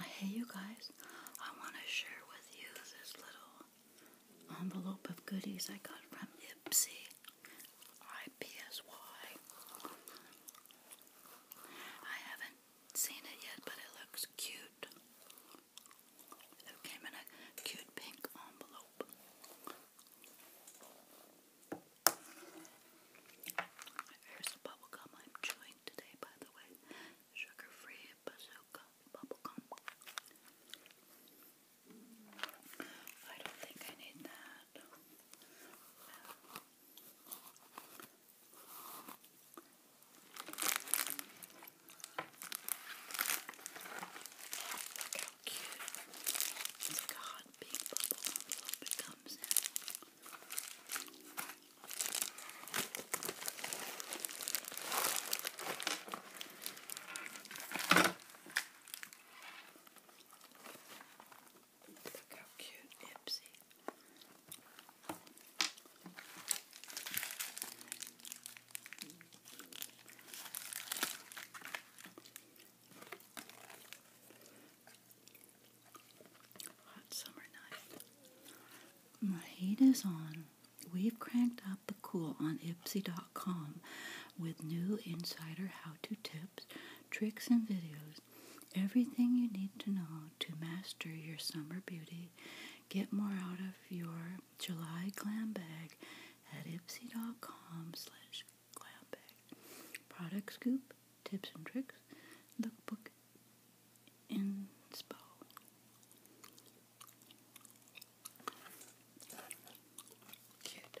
Hey, you guys, I want to share with you this little envelope of goodies I got from Ipsy. Ipsy. I I haven't seen it yet, but it looks cute. It came in a cute pink envelope. Here's the bubblegum I'm chewing today, by the way. Sugar-free bazooka bubblegum. I don't think I need that. Look how cute. It's like a hot pink bubble envelope it comes in. Look how cute Ipsy. Hot summer night. My heat is on. We've cranked up the cool on Ipsy.com with new insider how to tips, tricks, and videos. Everything you need to know to master your summer beauty. Get more out of your July glam bag at ipsy.com slash glam bag. Product scoop, tips and tricks, lookbook, and spa. Cute.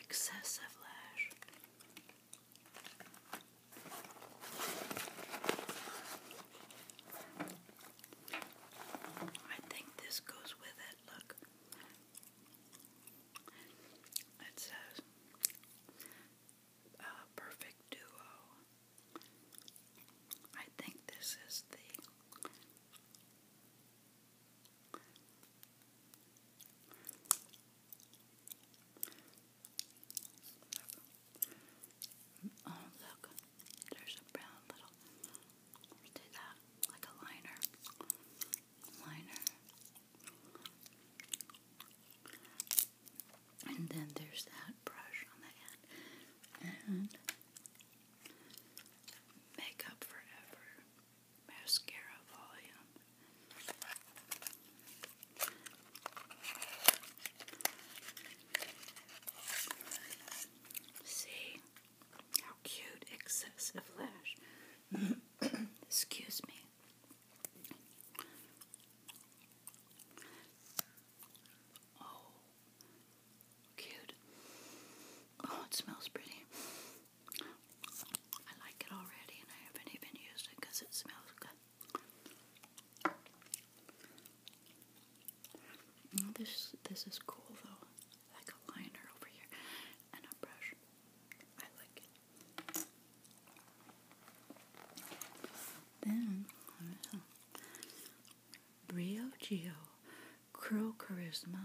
Excessive lash. I think this goes with it. Look, it says uh, perfect duo. I think this is the Oh, look, there's a brown little. We that like a liner. Liner. And then there's that brush on the end. And Makeup Forever Mascara Volume. See how cute excessive lash. Excuse me. Oh, Cute. Oh, it smells pretty. I like it already, and I haven't even used it because it smells good. this this is cool though, like liner over here and a brush. I like it. Then Brio Geo, Crow Charisma,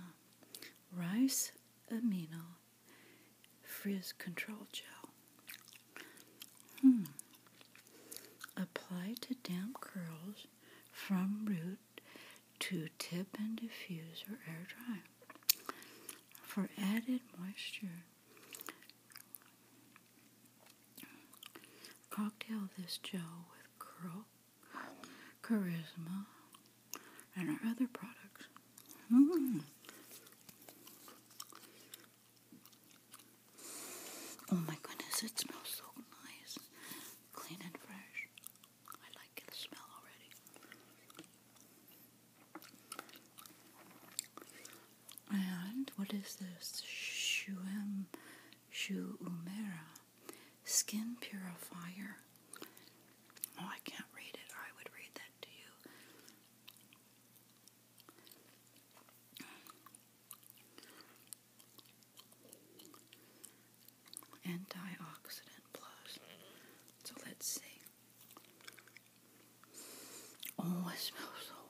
Rice Amino, Frizz Control Gel. Hmm. Apply to damp curls from root to tip and diffuse or air dry. For added moisture, cocktail this gel with curl Charisma, and our other products. Hmm. Oh my goodness, it smells so nice. Clean and fresh. I like the smell already. And what is this? Shuem Shuumera. Skin Purifier. Oh, I can't read it. I would read that to you. Antioxidant plus. So let's see. Oh, it smells so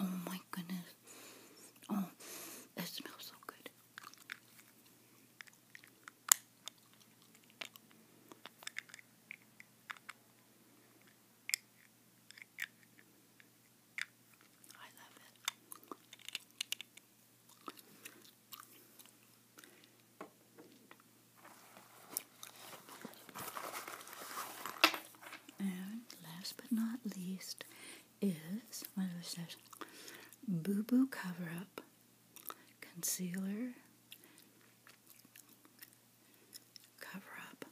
nice. Oh my goodness. Oh, it smells so good. I love it. And last but not least is one of the Boo Boo Cover Up Concealer Cover Up.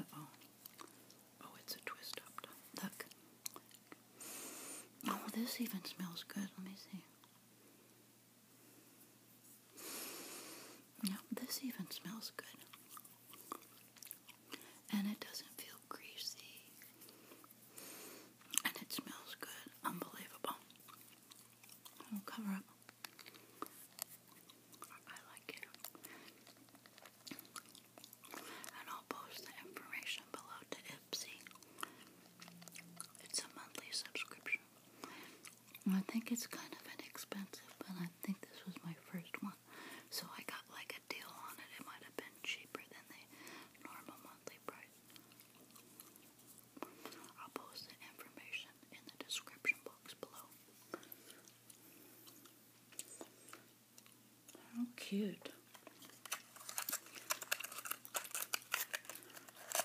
oh. Oh, it's a twist up. Look. Oh, this even smells good. Let me see. Now, this even smells good. And it doesn't feel greasy. And it smells good. Unbelievable. I'll cover up. I like it. And I'll post the information below to Ipsy. It's a monthly subscription. I think it's kind of inexpensive, but I think this was my first one. So I got like a deal on it. It might have been cheaper than the normal monthly price. I'll post the information in the description box below. How cute.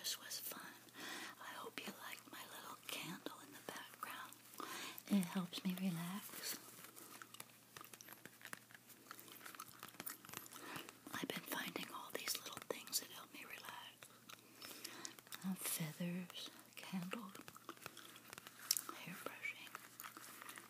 This was fun. I hope you liked my little candle in the background. It helps me relax. I've been finding all these little things that help me relax. Uh, feathers, candle, hairbrushing.